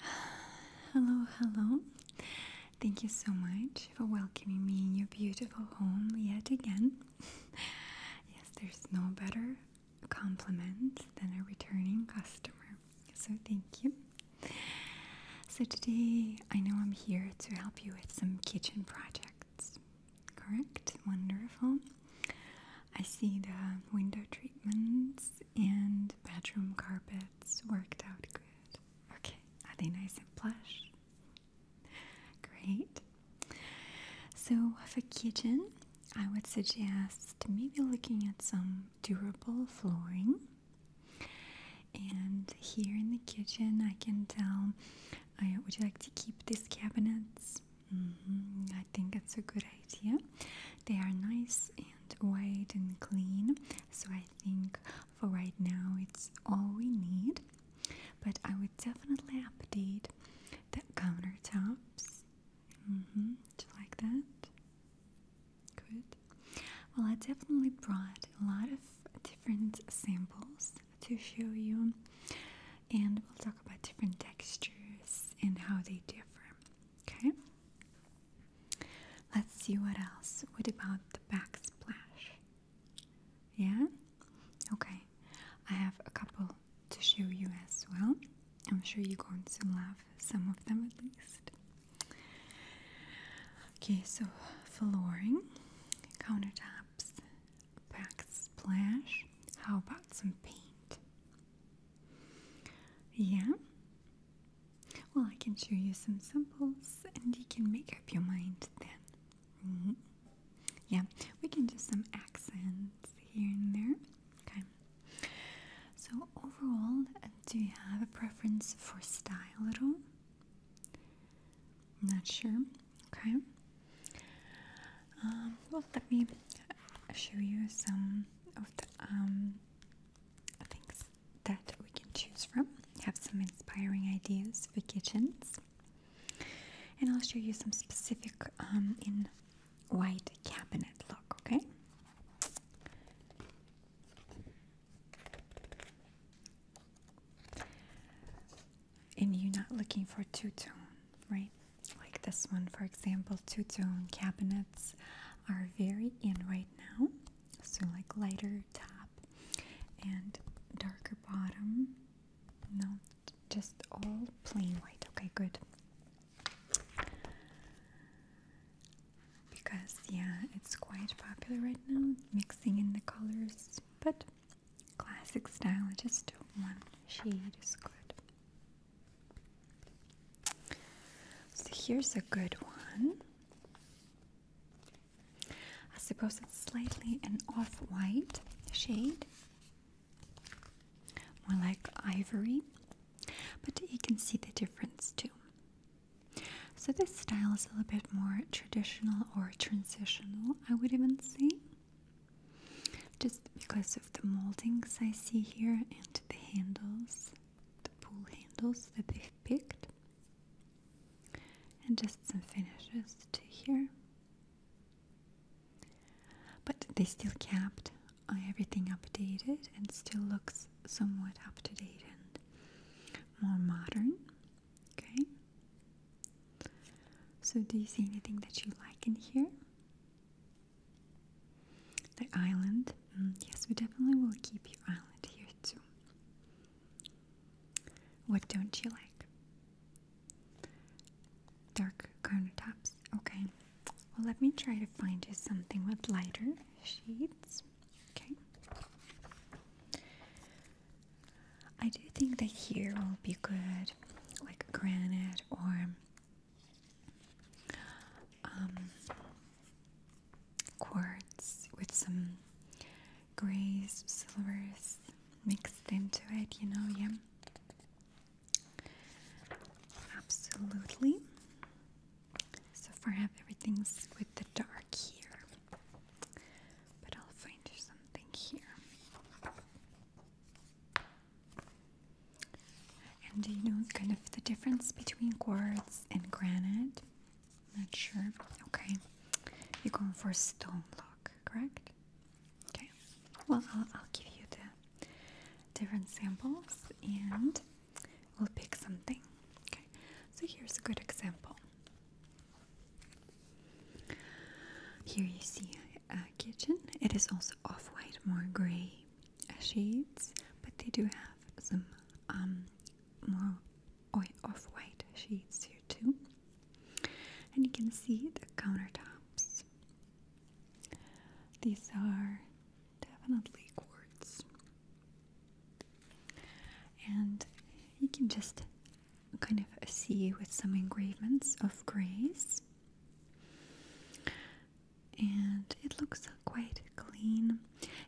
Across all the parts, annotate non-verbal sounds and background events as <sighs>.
<sighs> Hello, hello. Thank you so much for welcoming me in your beautiful home yet again. <laughs> yes, there's no better compliment than a returning customer. So, thank you. So, today I know I'm here to help you with some kitchen projects, correct? Wonderful. I see the window treatments and bedroom carpets worked out good. Okay, are they nice and plush? Great. So, for kitchen, I would suggest maybe looking at some durable flooring. And here in the kitchen, I can tell. I would you like to keep these cabinets? Mm-hmm, I think that's a good idea. They are nice and white and clean, so I think for right now it's all we need. But I would definitely update the countertops, mm -hmm, just like that. Good. Well, I definitely brought a lot of different samples to show you, and we'll talk about different textures and how they differ. Okay. Let's see what else. What about the backsplash? Yeah? Okay. I have a couple to show you as well. I'm sure you're going to love some of them at least. Okay, so flooring, countertops, backsplash. How about some paint? Yeah? Well, I can show you some samples and you can make up your mind then. Mm-hmm. Yeah, we can do some accents here and there. Okay. So, overall, do you have a preference for style at all? Not sure. Okay. Um, well, let me show you some of the um, things that we can choose from. Have some inspiring ideas for kitchens. And I'll show you some specific um, in white cabinet look, okay? And you're not looking for two-tone, right? Like this one, for example, two-tone cabinets are very in right now. So, like lighter top and darker bottom. No, just all plain white. Okay, good. Because, yeah, it's quite popular right now, mixing in the colors, but classic style, just one shade is good. So here's a good one. I suppose it's slightly an off white shade, more like ivory, but you can see the difference too. So, this style is a little bit more traditional or transitional, I would even say, just because of the moldings I see here and the handles the pool handles that they've picked and just some finishes to here but they still kept uh, everything updated and still looks somewhat up to date and more modern okay so do you see anything that you like in here the island. Mm, yes, we definitely will keep your island here too. What don't you like? Dark countertops. Okay. Well, let me try to find you something with lighter shades. Okay. I do think that here will be good, like granite or um, quartz with some grays, silvers mixed into it, you know, yeah. Absolutely. So far, have everything's with the dark here, but I'll find something here. And do you know kind of the difference between quartz and granite? Not sure. Okay. You're going for stone look, correct? Okay. Well, I'll, I'll give you the different samples and we'll pick something. Okay. So here's a good example. Here you see a kitchen. It is also off-white, more gray shades, but they do have some um, more off-white shades here too. And you can see the countertops. These are definitely quartz. And you can just kind of see with some engravements of grace and it looks quite clean,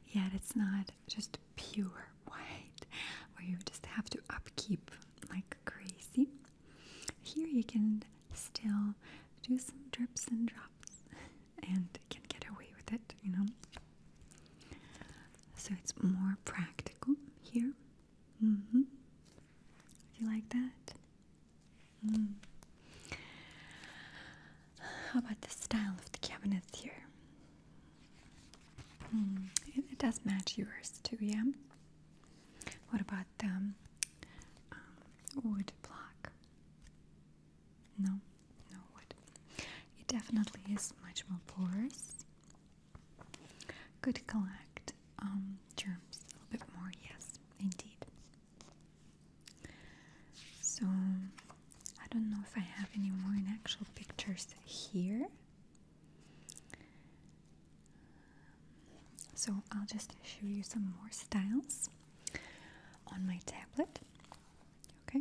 yet it's not just pure white where you just have to upkeep like crazy. Here you can still do some drips and drops and can get away with it, you know. So it's more practical here. Do mm-hmm. you like that? Hmm. How about the style of the cabinets here? Hmm, it, does match yours too, yeah? What about the um, um, wood block? No, no wood. It definitely is much more porous. Could collect um, germs a little bit more, yes, indeed. So I don't know if I have any more actual pictures here. So I'll just show you some more styles on my tablet. Okay.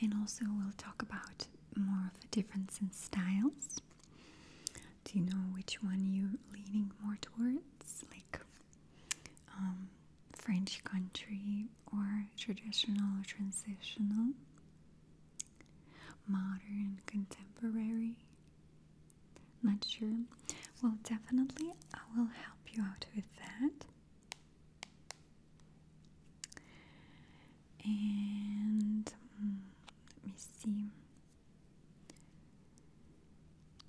And also we'll talk about more of the difference in styles. Do you know which one you're leaning more towards? Like um, French country or traditional or transitional? Modern, contemporary? Not sure. Well, definitely I will help you out with that. And mm, let me see.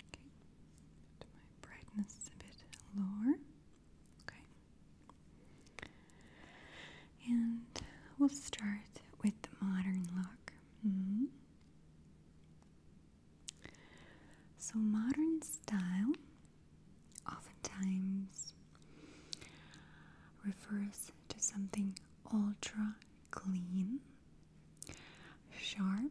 Okay, put my brightness a bit lower. Okay. And we'll start with the modern look. Hmm. So, modern style oftentimes refers to something ultra clean, sharp,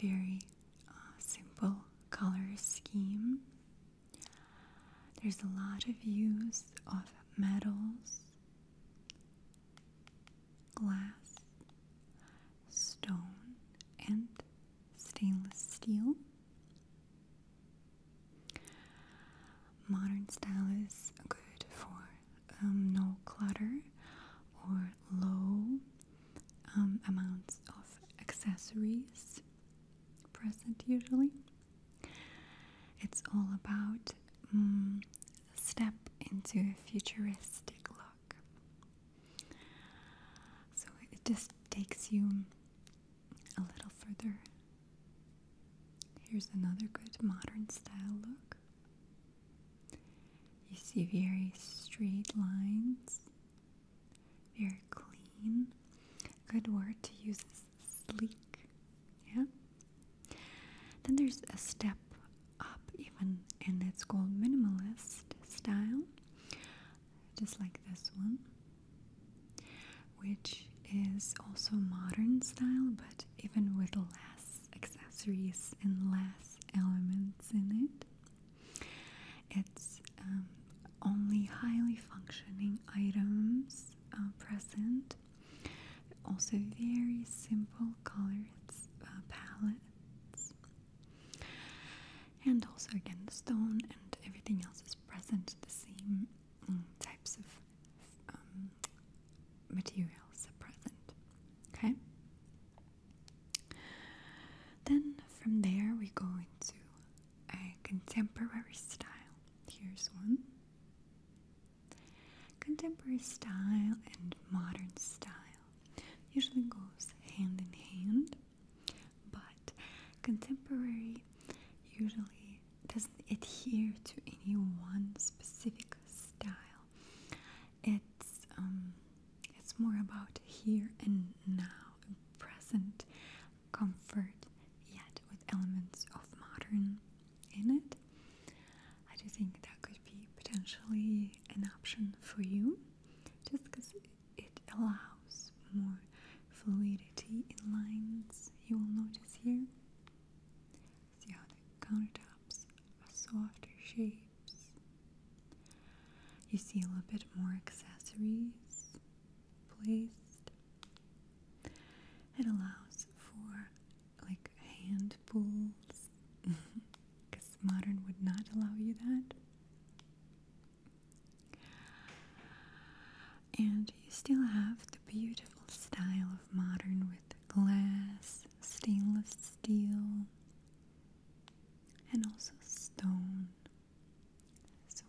very uh, simple color scheme. There's a lot of use of metals, glass, stone, and stainless steel. Modern style is good for um, no clutter or low um, amounts of accessories present usually. It's all about um, step into a futuristic look. So it just takes you a little further. Here's another good modern style look. You see very straight lines, very clean. Good word to use is sleek. Yeah. Then there's a step up even, and it's called minimalist style, just like this one, which is also modern style, but even with less accessories and less elements in it. It's um, only highly functioning items uh, present. Also, very simple colors uh, palettes, and also again the stone and everything else is present. The same mm, types of um, materials present. Okay? Then from there we go into a contemporary style. Here's one. Contemporary style and modern style usually goes hand in hand, but contemporary usually doesn't adhere to any one specific style. It's um, it's more about here and now, present comfort, yet with elements of modern in it. I do think that could be potentially an option for you, just because it allows more fluidity in lines. You will notice here. See how the countertops are softer shapes. You see a little bit more accessories placed. It allows for like hand because <laughs> modern would not allow you that. And you still have the beautiful style of modern with glass stainless steel, and also stone. So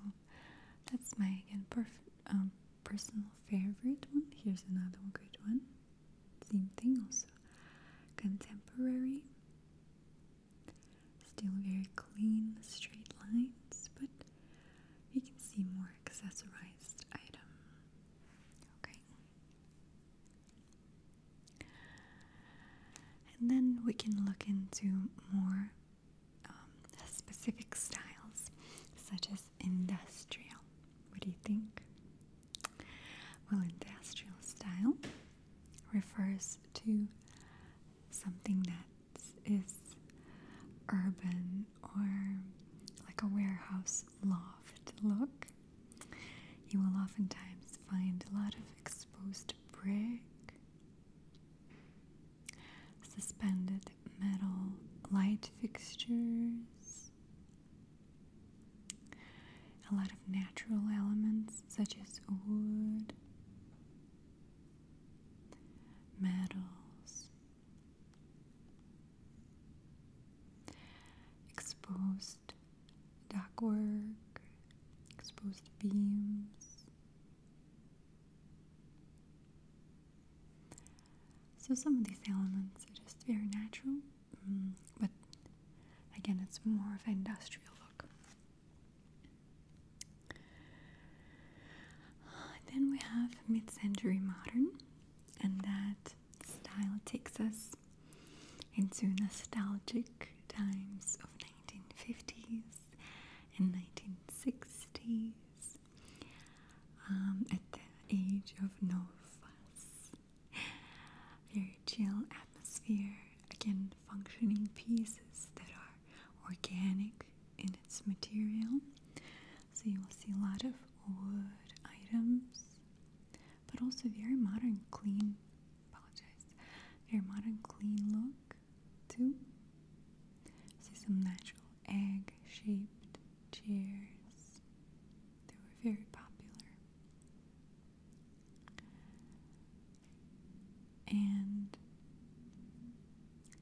that's my again um, personal favorite one. Here's another great one. Same thing also. Contemporary. Still very clean, straight lines, but you can see more accessorized item. Okay. And then we can look into more um, specific styles, such as industrial. What do you think? Well, industrial style refers to something that is urban or like a warehouse loft look you will oftentimes find a lot of exposed brick, suspended metal light fixtures, a lot of natural elements such as wood, metals, exposed exposed dockwork, exposed beams. So some of these elements are just very natural, mm, but again, it's more of an industrial look. Then we have mid-century modern, and that style takes us into nostalgic times of 1950s and 1960s um, at the age of no fuss. Very chill atmosphere, again, functioning pieces that are organic in its material. So you will see a lot of wood items but also very modern, clean. Apologize. Very modern, clean look too. See some natural egg-shaped chairs. They were very popular. And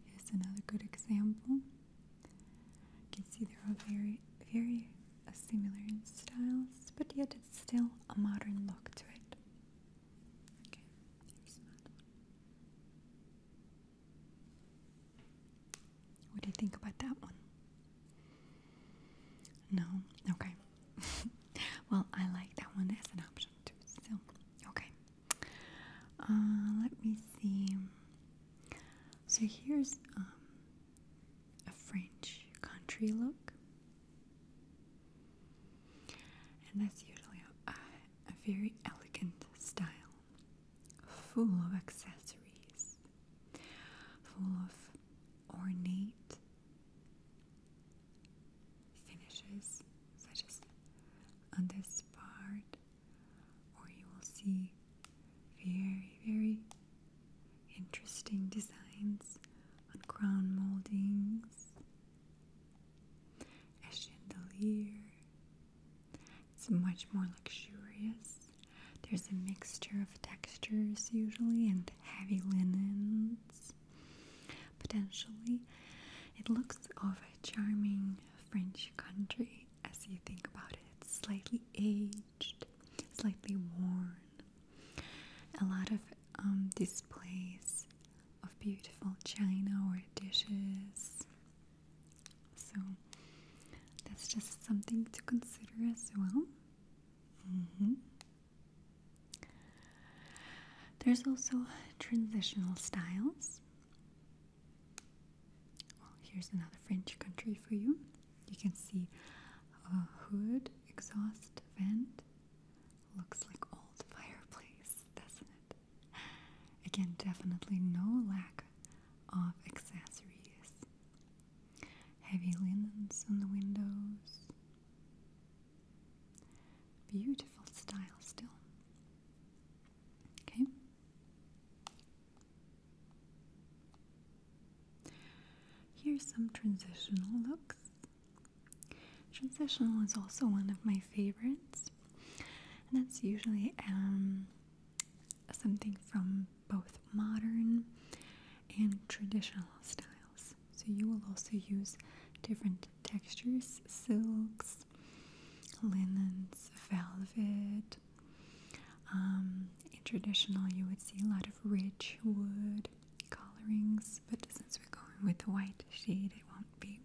here's another good example. You can see they are very, very similar in styles, but yet it's still a modern look to it. What do you think about that one? No? Okay. <laughs> well, I like that one as an option too, still. So, okay. Uh, let me see. So here's um, a French country look, and that's usually a, very elegant style, full of accessories, full of ornate finishes, such as on this part, or you will see very, very interesting designs on crown moldings, a chandelier. It's much more luxurious. There's a mixture of textures usually and heavy linens. Potentially, it looks of a charming French country as you think about it. It's slightly aged slightly worn. A lot of um, displays of beautiful china or dishes. So that's just something to consider as well. Mm-hmm. There's also transitional styles. Well, here's another French country for you. You can see a hood exhaust vent. Looks like old fireplace, doesn't it? Again, definitely no lack of accessories. Heavy linens on the windows. Beautiful style still. Okay. Here's some transitional looks. Transitional is also one of my favorites, and that's usually um, something from both modern and traditional styles. So you will also use different textures, silks, linens, velvet, um, in traditional, you would see a lot of rich wood colorings, but since we're going with the white shade, it won't be.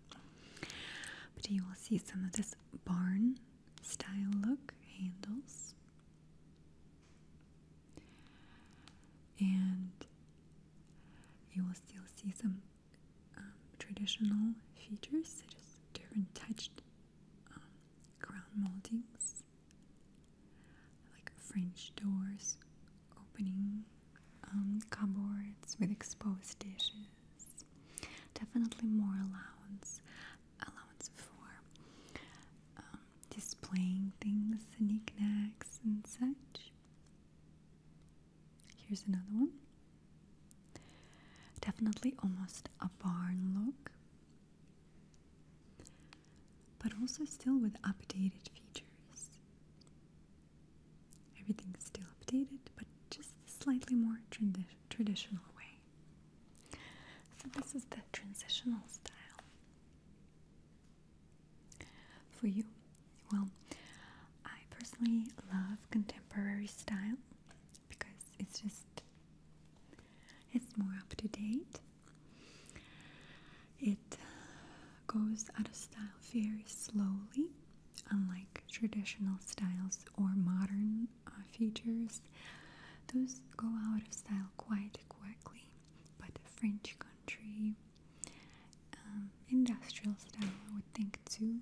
But you will see some of this barn style look handles. And you will still see some um, traditional features, such as different touched um, ground moldings like French doors opening, um, cupboards with exposed dishes. Definitely more allowance, allowance for um, displaying things, knickknacks, and such. Here's another one. Definitely almost a barn look but also still with updated features. Everything is still updated, but just slightly more traditional way. So, this is the transitional style. For you, well, I personally love contemporary style because it's just it's more up to date. It uh, goes out of style very slowly, unlike traditional styles or modern uh, features. Those go out of style quite quickly, but French country, um, industrial style, I would think too,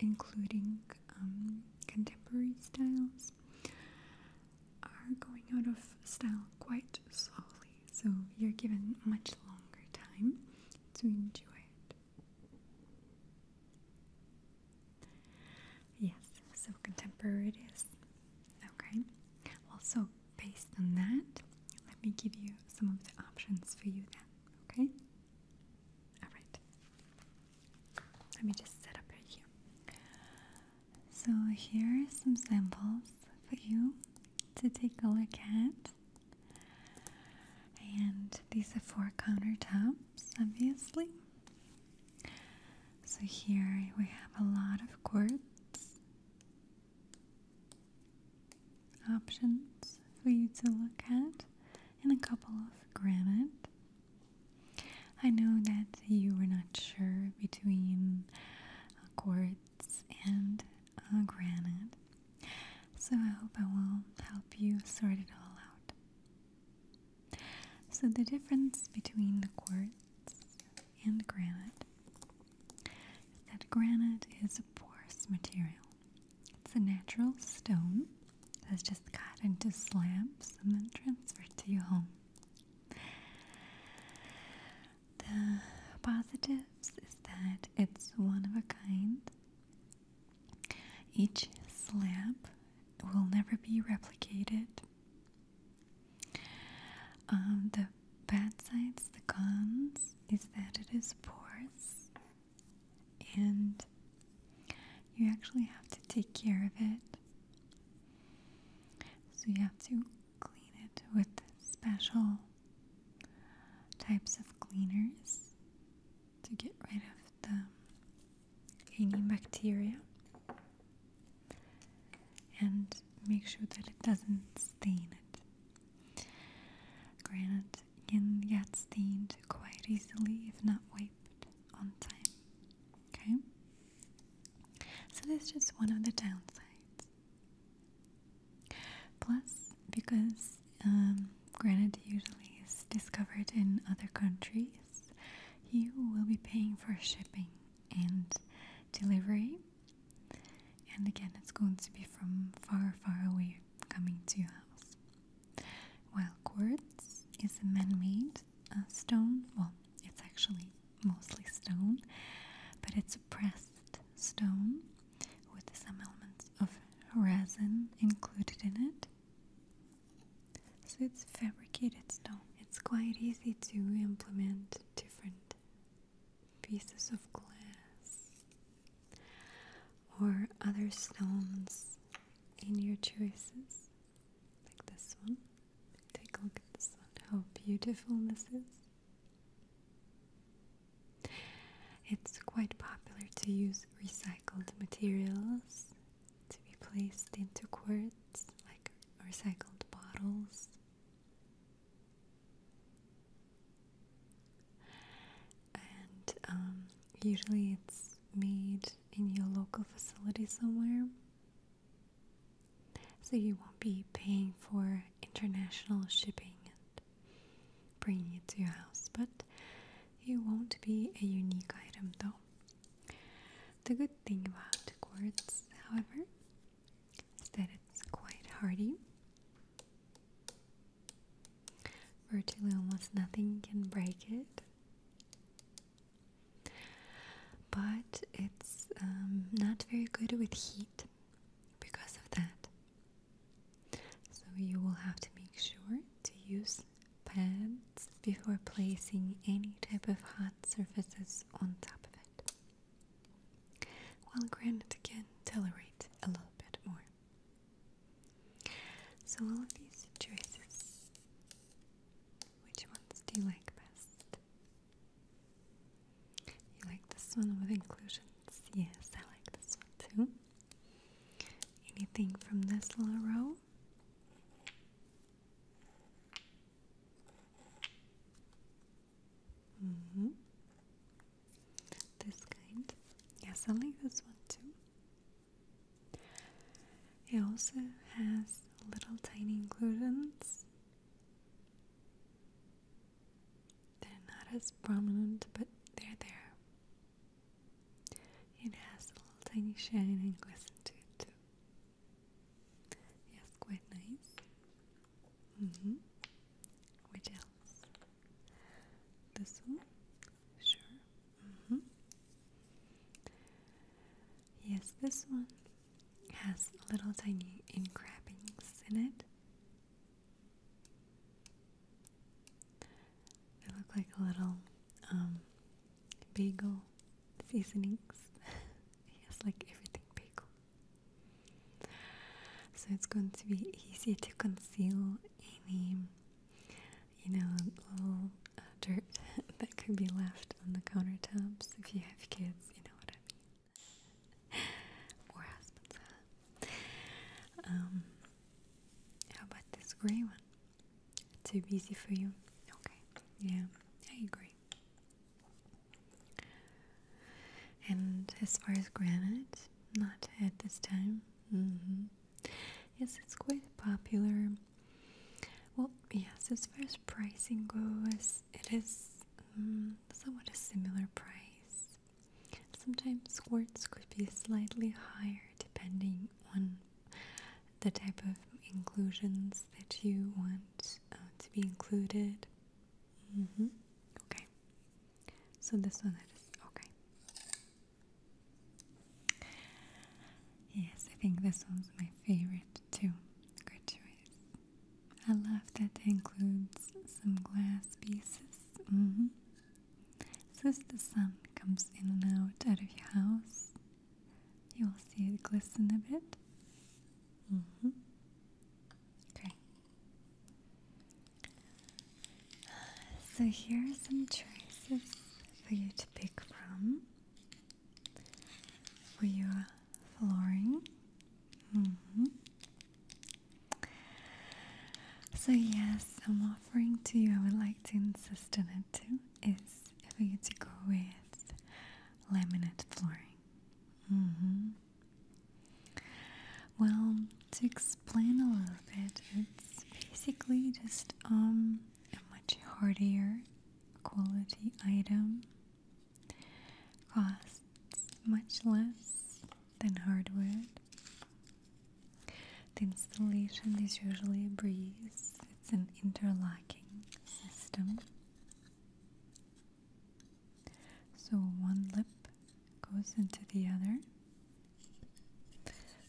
including um, contemporary styles are going out of style quite slowly, so you're given much longer time to enjoy it. Yes, so contemporary it is. Okay, also based on that, let me give you some of the options for you then, okay? Alright, let me just set up here. So here are some samples for you to take a look at. And these are four countertops, obviously. So here we have a lot of quartz options for you to look at, and a couple of granite. I know that you were not sure between uh, quartz and uh, granite, so I hope I will help you sort it all out. So, the difference between the quartz and granite is that granite is a porous material, it's a natural stone that's just cut into slabs and then transferred to your home. The positives is that it's one of a kind. Each slab will never be replicated. Um, the bad sides, the cons, is that it is porous and you actually have to take care of it so you have to clean it with special types of cleaners to get rid of the any bacteria and make sure that it doesn't stain it. Granite can get stained quite easily if not wiped on time. Okay? So that's just one of the downsides. Plus, because um, granite usually is discovered in other countries, you will be paying for shipping and delivery. And again, it's going to be from far, far away coming to your house. While quartz is a man made uh, stone, well, it's actually mostly stone, but it's pressed stone with some elements of resin included in it. So it's fabricated stone. It's quite easy to implement different pieces of glass or other stones in your choices like this one. Take a look at this one, how beautiful this is. It's quite popular to use recycled materials to be placed into quartz, like recycled bottles. And um, usually it's made in your local facility somewhere so you won't be paying for international shipping and bringing it to your house, but it won't be a unique item though. The good thing about quartz, however, is that it's quite hardy. Virtually almost nothing can break it. But it's um, not very good with heat because of that. So you will have to make sure to use pads before placing any type of hot surfaces on top of it. While granite can tolerate a little bit more. So all of these choices, which ones do you like best? You like this one with inclusions? Yes, I like this one too. Anything from this little row? Mm-hmm. This kind? Yes, I like this one too. It also has little tiny inclusions they're not as prominent, but they're there. It has a little tiny shine and glisten to it too. Yes, quite nice. Mm hmm Which else? This one? Sure. Mm hmm Yes, this one has little tiny encrappings in it. They look like a little um, bagel seasonings. <laughs> yes, like everything bagel. So it's going to be easy to conceal any, you know, little uh, dirt <laughs> that could be left on the countertops if you have kids. You know know <laughs> husbands, Um, how about this gray one? Too busy for you? Okay, yeah, I agree. And as far as granite, not at this time. Mm-hmm. Yes, it's quite popular. Well, yes, as far as pricing goes, it is mm, somewhat a similar price. Sometimes quartz could be slightly higher depending on the type of inclusions that you want uh, to be included. Mm-hmm. Okay, so this one is okay. Yes, I think this one's my favorite too. Good choice. I love that it includes some glass pieces. Mm-hmm. So as the sun comes in and out of your house, you will see it glisten a bit. Mm-hmm. Okay. So here are some choices for you to pick from for your uh, flooring. Mm-hmm. So, yes, I'm offering to you, I would like to insist on it too, is for you to go with laminate flooring. Mm-hmm. Well, to explain a little bit, it's basically just um, a much hardier quality item costs much less than hardwood. The installation is usually a breeze, it's an interlocking system. So one lip goes into the other.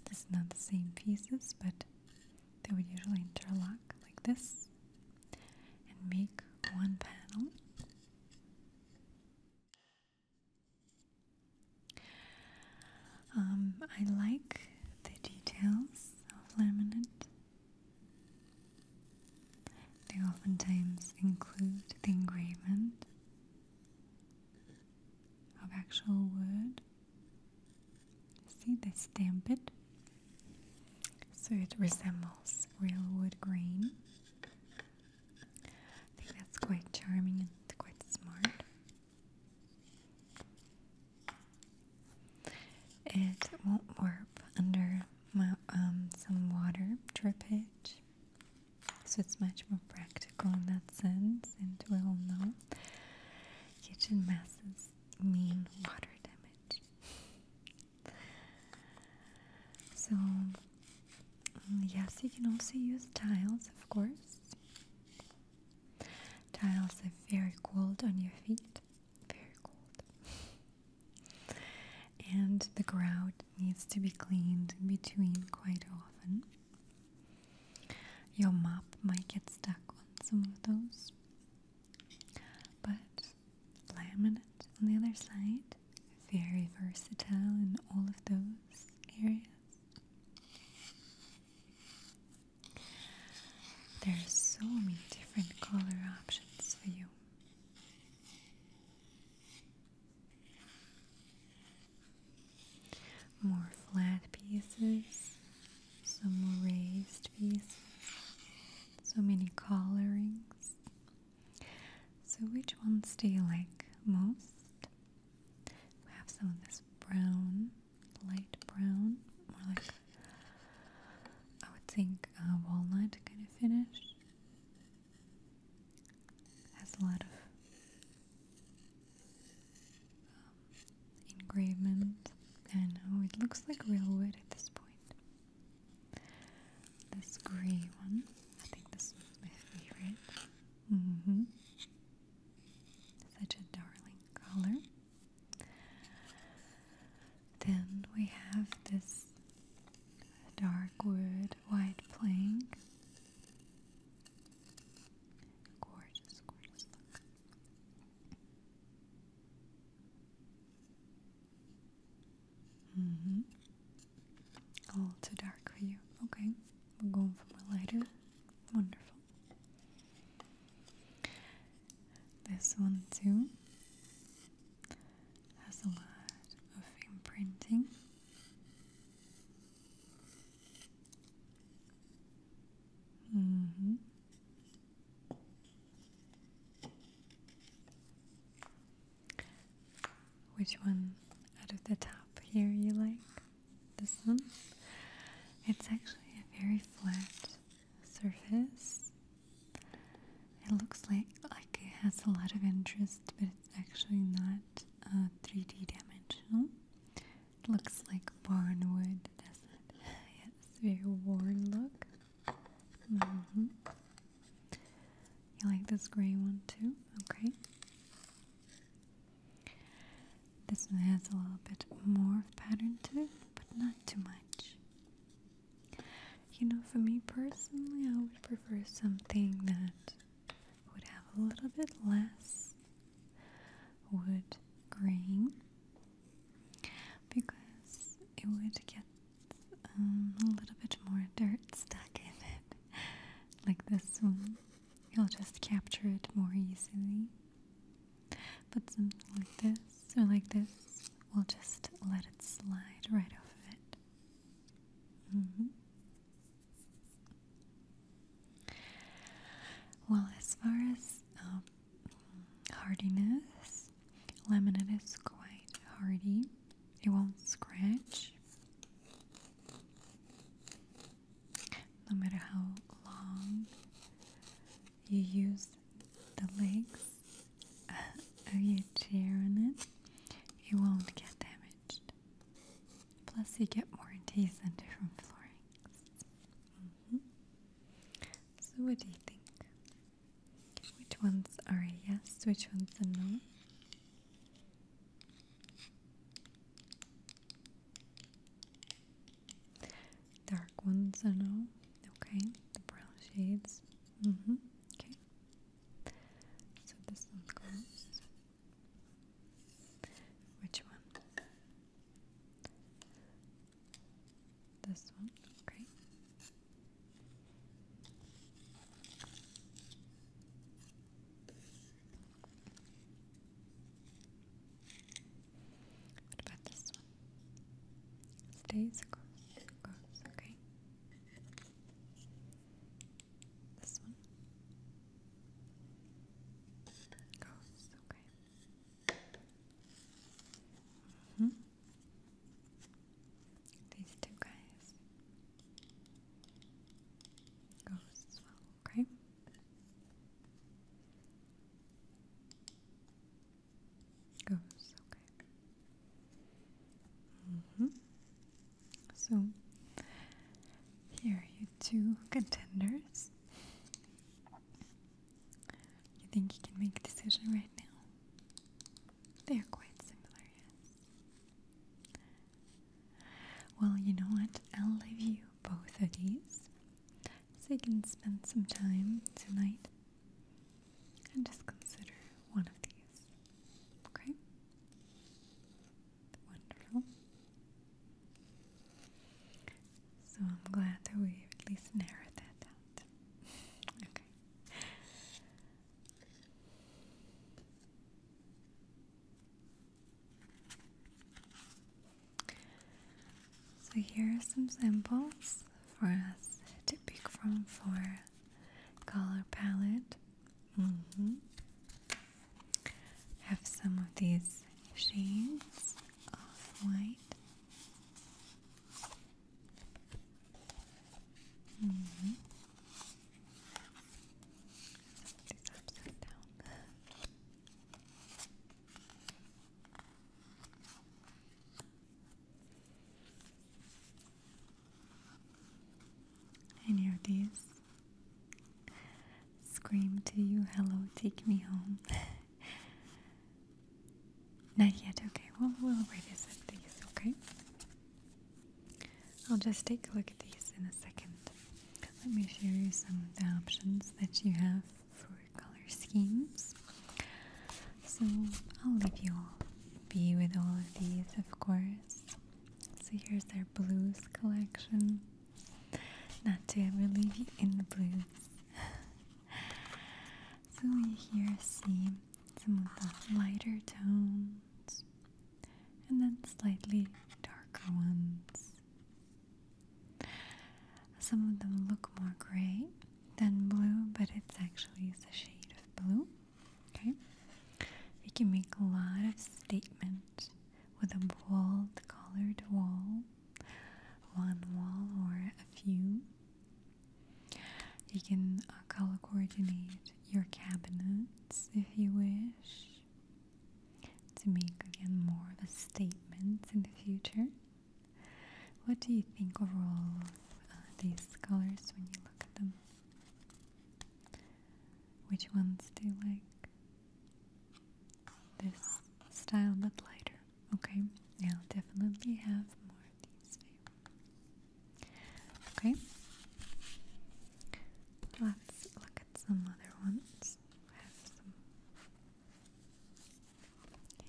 This is not the same pieces, but they would usually interlock like this and make one panel. Um, I like the details of laminate. They oftentimes include the engraving of actual wood. See, they stamp it so it resembles real wood grain. I think that's quite charming and quite smart. It won't warp under um, some water drippage, so it's much more practical in that sense. And we all know kitchen messes mean water damage. So, mm, yes, you can also use tiles, of course. Tiles are very cold on your feet, very cold. <laughs> And the grout needs to be cleaned in between quite often. Your mop might get stuck on some of those, but laminate on the other side. Very versatile in all of those areas. There are so many different color options for you. More flat pieces, some more raised pieces, so many colorings. So, which ones do you like most? We have some of this brown, light brown, more like I would think uh, walnut kind of finish. Has a lot of um, and oh, it looks like real wood at this point. This grey one, I think this one's my favorite. -hmm. Such a darling color. Then we have this dark wood white plank. Gorgeous, gorgeous look. Mm hmm. A too dark for you. Okay. We're going for a lighter. Wonderful. This one, too, has a lot of imprinting. Mm hmm. Which one out of the top here you like? This one? It's actually a very flat surface. It looks like like it has a lot of interest, but it's actually not 3D uh, dimensional. It looks like barn wood, doesn't it? <laughs> yeah, a very worn look. Mm You like this gray one too? Okay. This one has a little bit more pattern to it, but not too much. You know, for me personally, I would prefer something that would have a little bit less wood grain because it would get um, a little bit more dirt stuck in it, like this one. You'll just capture it more easily. But something like this or like this, we'll just let it slide right off of it. Mm-hmm. Well, as far as um, hardiness, Laminate is quite hardy, it won't scratch no matter how long you use the legs <laughs> of you chair on it, it won't get damaged. Plus, you get warranties on different floorings. Mm So, what do you think? Which ones are yes, which ones a no? Dark ones are no. Okay, the brown shades. hmm. Okay. So this one goes. Which one? This one, okay. What about this one? Stays across, okay. This one goes, okay. -hmm. These two guys goes okay? Goes, okay. Mm-hmm. So here are you two contenders. You think you can make a decision right now? They are quite similar, yes. Well, you know what? I'll leave you both of these so you can spend some time tonight and just consider one of these. Okay? Wonderful. So I'm glad that we at least narrowed that out. <laughs> Okay. So here are some samples for us to pick from for color palette. Mm-hmm. Have some of these shades of white. It's upside down. Any of these scream to you, hello, take me home. <laughs> Not yet, okay. Well, we'll a revisit these, okay? I'll just take a look at these in a second. Let me show you some of the options that you have for color schemes. So I'll leave you all be with all of these, of course. So here's our blues collection. Not to ever leave you in the blues. <laughs> so we here see some of the lighter tones, and then slightly darker ones. Some of them look more gray than blue, but it's actually it's a shade of blue. Okay, we can make a lot of statements with a bold colored wall, one wall or a few. You can uh, color coordinate your cabinets if you wish to make again more of a statement in the future. What do you think overall of uh, these colors when you look at them? Which ones do you like? This style but lighter. Okay, I'll definitely have more of these Okay, let's look at some other ones. I have some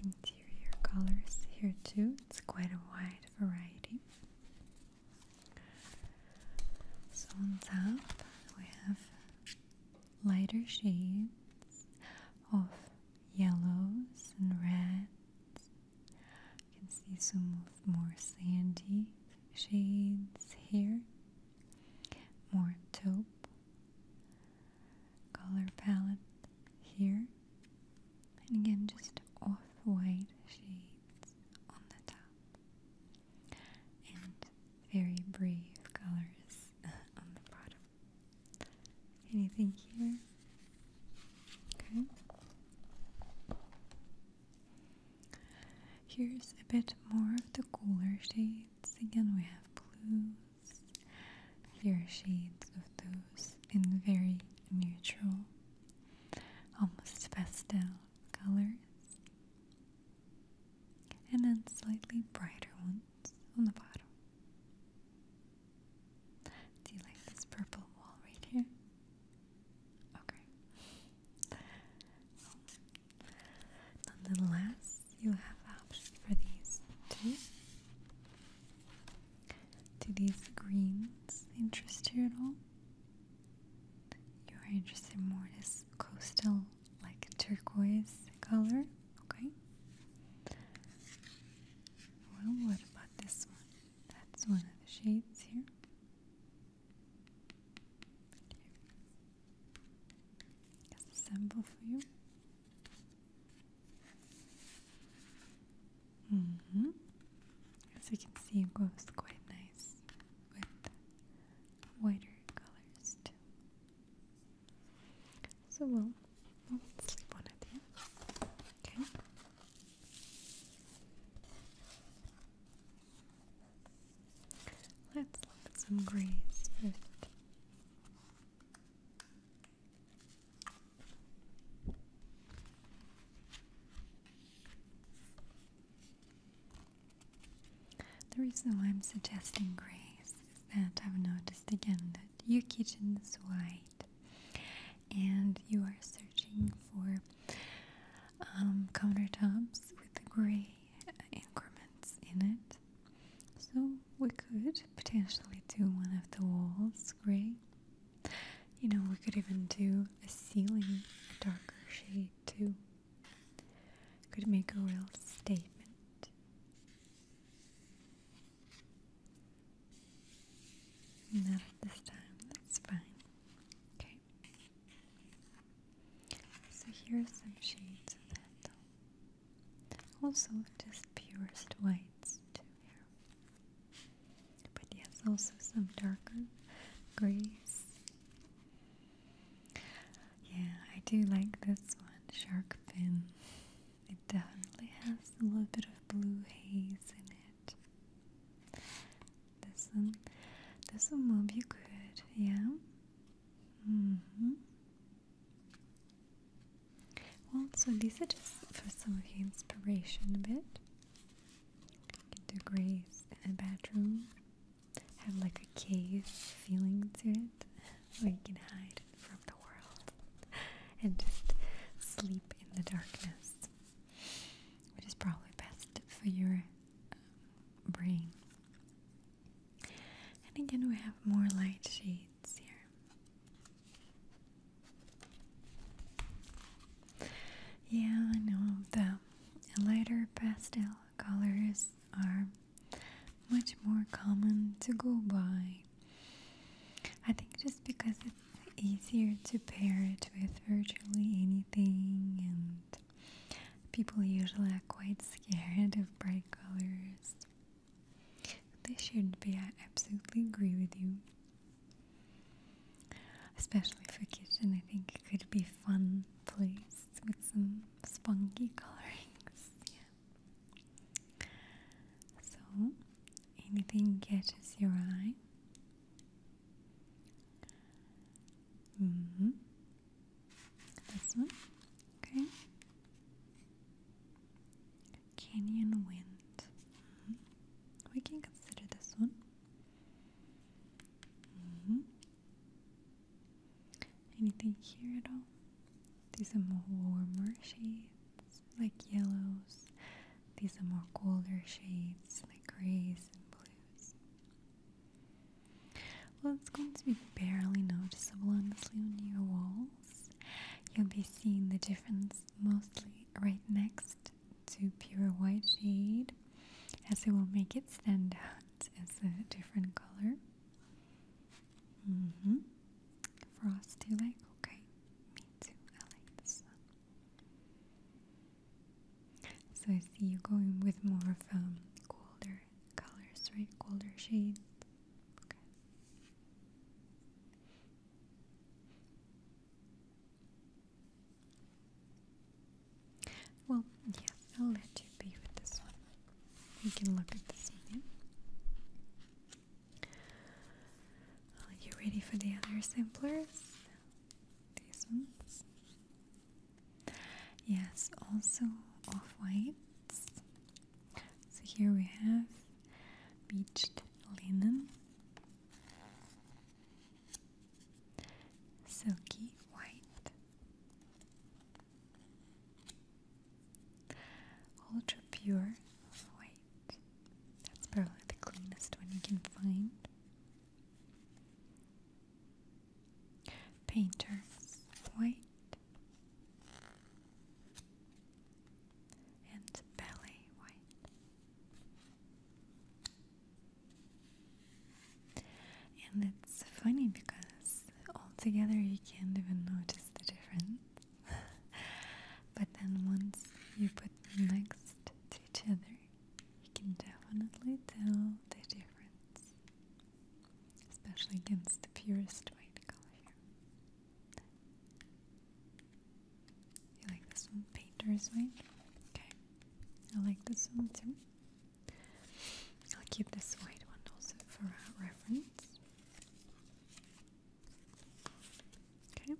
interior colors here too. It's quite a wide variety. So on top we have lighter shades of yellows and reds you can see some more sandy shades here, more taupe color palette here, and again just off-white shades on the top, and very brave colors <laughs> on the bottom. Anything here? Okay. Here's a bit more of the cooler shades. Again, we have blues. fair shades of those in very neutral, almost pastel colors. And then slightly brighter ones on the bottom. Do you like this purple wall right here? Okay. Well, nonetheless, you have options for these too. Do these greens interest you at all? You are interested more in this coastal, like turquoise color, okay? Well, what about this one? That's one of the shades here. As a sample for you. Mm-hmm. As you can see, it goes quite nice with whiter colors too. So we'll, we'll sleep on Okay. Let's look at some grays first. The reason why I'm suggesting grays is that I've noticed again that your kitchen is white and you are searching for um, countertops with the gray increments in it so we could potentially do one of the walls gray you know we could even do a ceiling a darker shade too could make a real statement not this time, that's fine. Okay. So here are some shades of that. Also just purest whites too But yes, also some darker grays. Yeah, I do like this one, shark fin. It definitely has a little bit of blue haze in it. This one, this one will be good, yeah. Mm-hmm. Well, so these are just for some of your inspiration a bit. Get the grays in a bedroom. Have like a cave feeling to it, where you can hide from the world <laughs> and just sleep in the darkness, which is probably best for your um, brain. And again, we have more light shades here. Yeah, I know the lighter pastel colors are much more common to go by I think just because it's easier to pair it with virtually anything, and people usually are quite scared of bright colors. this shouldn't be, I absolutely agree with you. Especially for kids. And I think it could be fun place with some spunky <laughs> colorings. So, anything catches your eye? Mm-hmm. This one? Okay. Canyon wind. Mm-hmm. We can consider this one. Mm-hmm. Anything here at all? These are more warmer shades like yellows. These are more colder shades like grays and blues. Well, it's going to be barely noticeable honestly on your walls. You'll be seeing the difference mostly right next to pure white shade as it will make it stand out as a different color. mm like? Okay, so I see you going with more of um, colder colors, right? Colder shades. Okay. Well, yeah, I'll let you be with this one. We can look at this one. Are you ready for the other samplers? These ones? Yes, also off whites. So here we have beached linen, silky white, ultra pure white. That's probably the cleanest one you can find. Painters, white. And belly white. And it's funny because altogether you can't even notice the difference. <laughs> but then once you put next to each other, you can definitely tell the difference, especially against the purest white color here. You like this one? Painter's white? Okay. I like this one too. I'll keep this white one also for reference. Okay.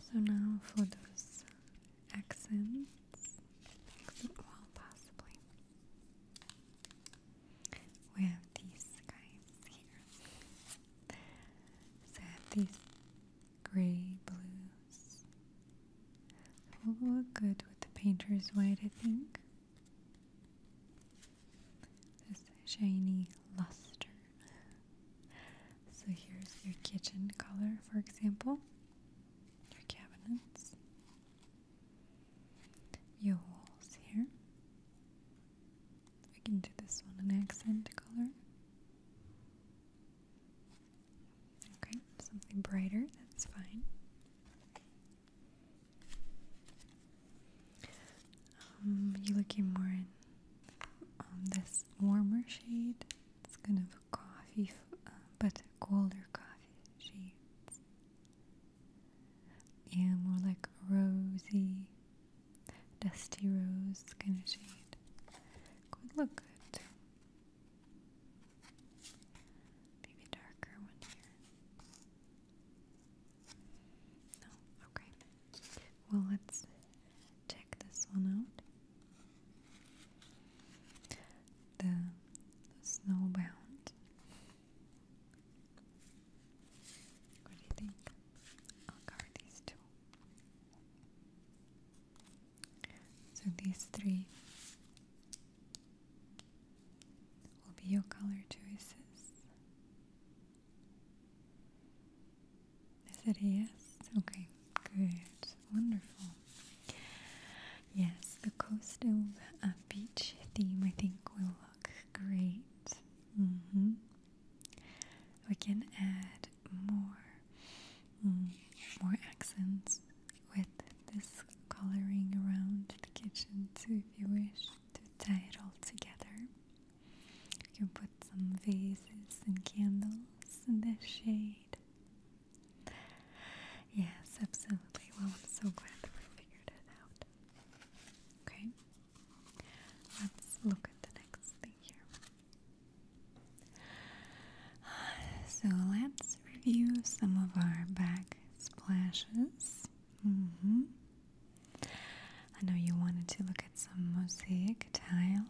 So now for those accents, well, possibly, we have these guys here. So I have these gray blues Will look good with the painter's white, I think. This shiny luster. So here's your kitchen color, for example, your cabinets, your walls here. We can do this one an accent color. Okay, something brighter, that's fine. Um, you looking more in um, this warmer shade? It's kind of a coffee, uh, but colder coffee shade. Yeah, more like rosy, dusty rose kind of shade. Could look good. Maybe darker one here. No, okay. Well, let's check this one out. The, snowbound. What do you think? I'll cover these two. So these three will be your color choices. Is it yes? Okay, good, wonderful. Yes, the coastal uh, beach theme I think will look great. Mm -hmm. We can add more, mm, more accents with this coloring around the kitchen too if you wish to tie it all together. You can put some vases and candles in the shade. Yes, absolutely. Well, I'm so glad that we figured it out. Okay, let's look at the next thing here. So let's review some of our back splashes. Mm-hmm. I know you wanted to look at some mosaic tiles.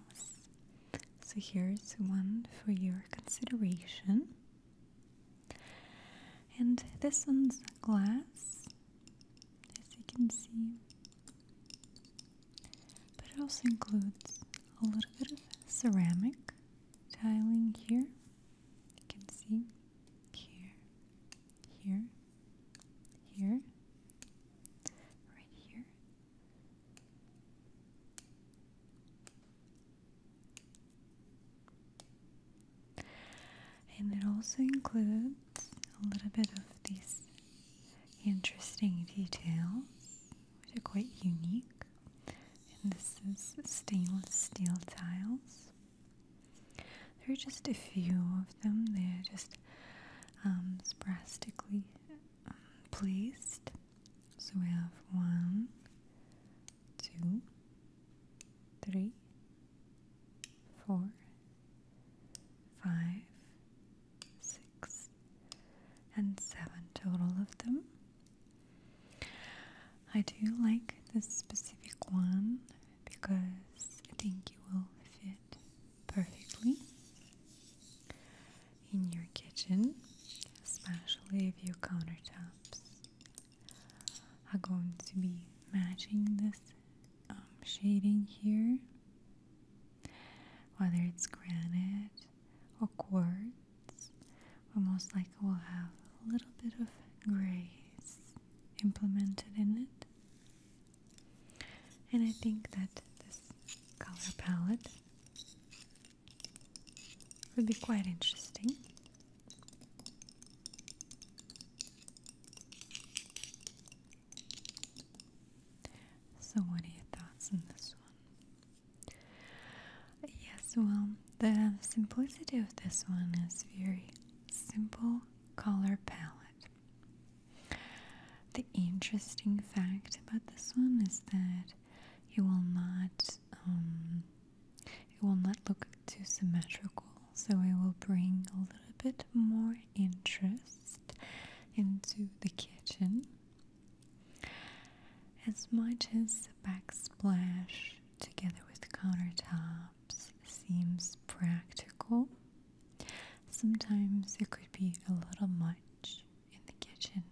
So here's one for your consideration. And this one's glass, as you can see. But it also includes a little bit of ceramic tiling here. You can see here, here, here, right here. And it also includes a little bit of these interesting details, which are quite unique and this is stainless steel tiles. There are just a few of them. They're just um, sporadically um, placed. So we have one, two, three, four, five, six, and seven total of them. I do like this specific one because I think it will fit perfectly in your kitchen, especially if your countertops are going to be matching this um, shading here, whether it's granite or quartz tones. We most likely will have a little bit of gray implemented in it. And I think that this color palette would be quite interesting. So, what are your thoughts on this one? Yes, well, the simplicity of this one is very simple color palette. The interesting fact about this one is that you will not um, it will not look too symmetrical, so it will bring a little bit more interest into the kitchen. As much as backsplash together with countertops seems practical. Sometimes it could be a little much in the kitchen,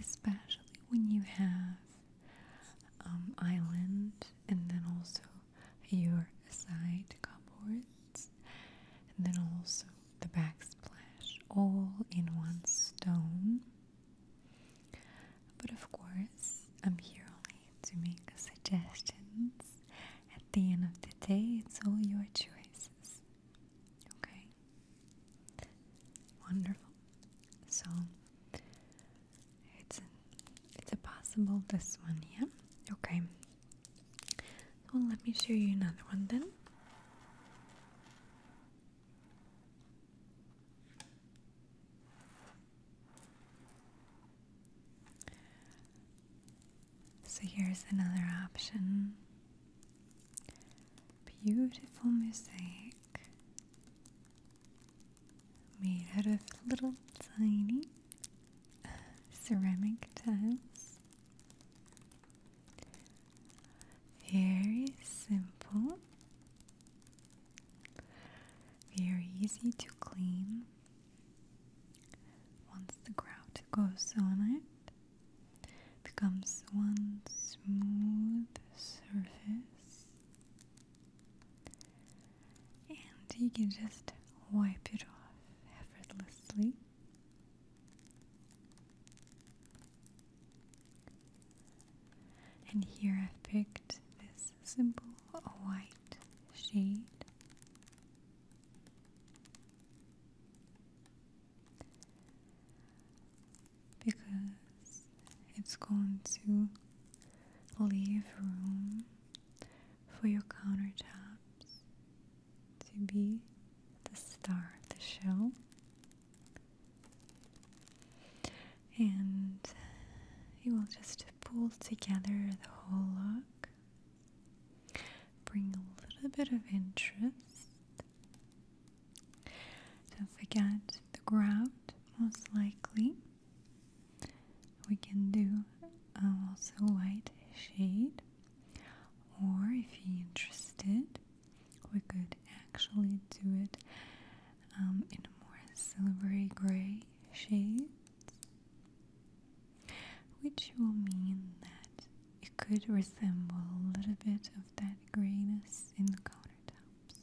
especially when you have um, island and then also your side cupboards and then also the backsplash all in one stone but of course, I'm here only to make suggestions. At the end of the day, it's all your choices. Okay? Wonderful. So it's a, it's a possible this one, here. Okay. So let me show you another one then. So here's another option. Beautiful mosaic made out of little tiny ceramic tiles. Very simple, very easy to clean once the grout goes on it becomes one smooth surface and you can just wipe it off effortlessly and here I've picked this simple white shade. Because it's going to leave room for your countertops to be the star of the show and uh, you will just pull together the whole look, bring a little bit of interest. Don't forget the ground. most likely. We can do um, also white shade, or if you're interested, we could actually do it um, in more silvery gray shades, which will mean that it could resemble a little bit of that grayness in the countertops.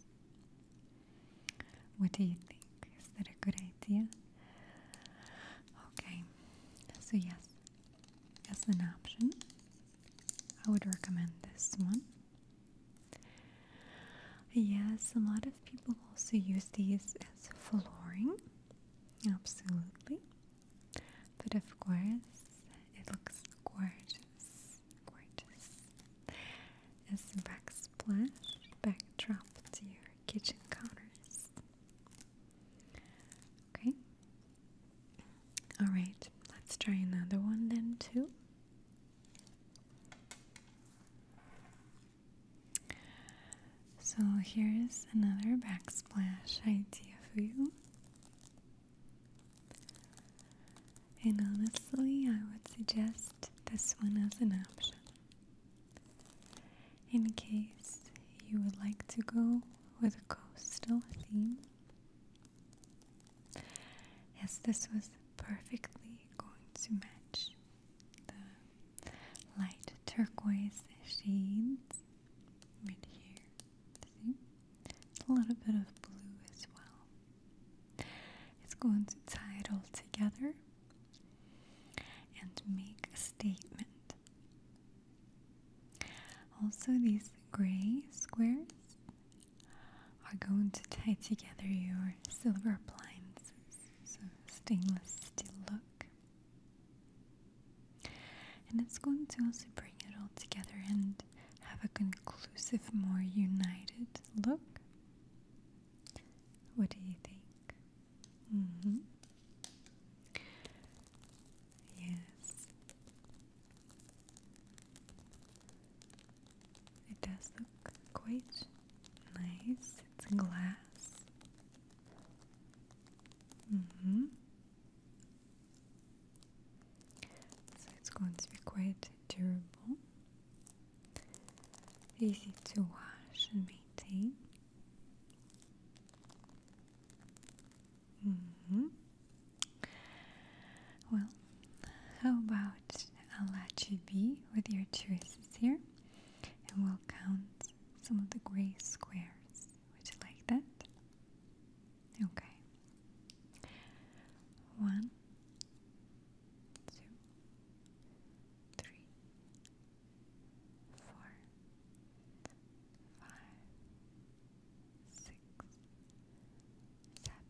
What do you think? Is that a good idea? Okay, so yes, as an option, I would recommend this one. Yes, a lot of people also use these as flooring. Absolutely. But of course, it looks gorgeous. Gorgeous. As a backsplash backdrop to your kitchen counters. Okay. Alright, let's try another one then, too. So here's another backsplash idea for you. And honestly, I would suggest this one as an option. In case you would like to go with a coastal theme, Yes, this was perfectly going to match the light turquoise shades right here. See? a little bit of blue as well. It's going to tie it all together and make a statement. Also, these gray squares are going to tie together your silver blinds, So stainless steel look. And it's going to also bring it all together and have a conclusive, more united look. What do you think? hmm Yes. It does look quite nice. It's glass. Mm-hmm. So it's going to be quite durable, easy to wash and maintain. hmm well, how about I'll let you be with your choices here and we'll count some of the gray squares. Would you like that? Okay. One, two, three, four, five, six, seven.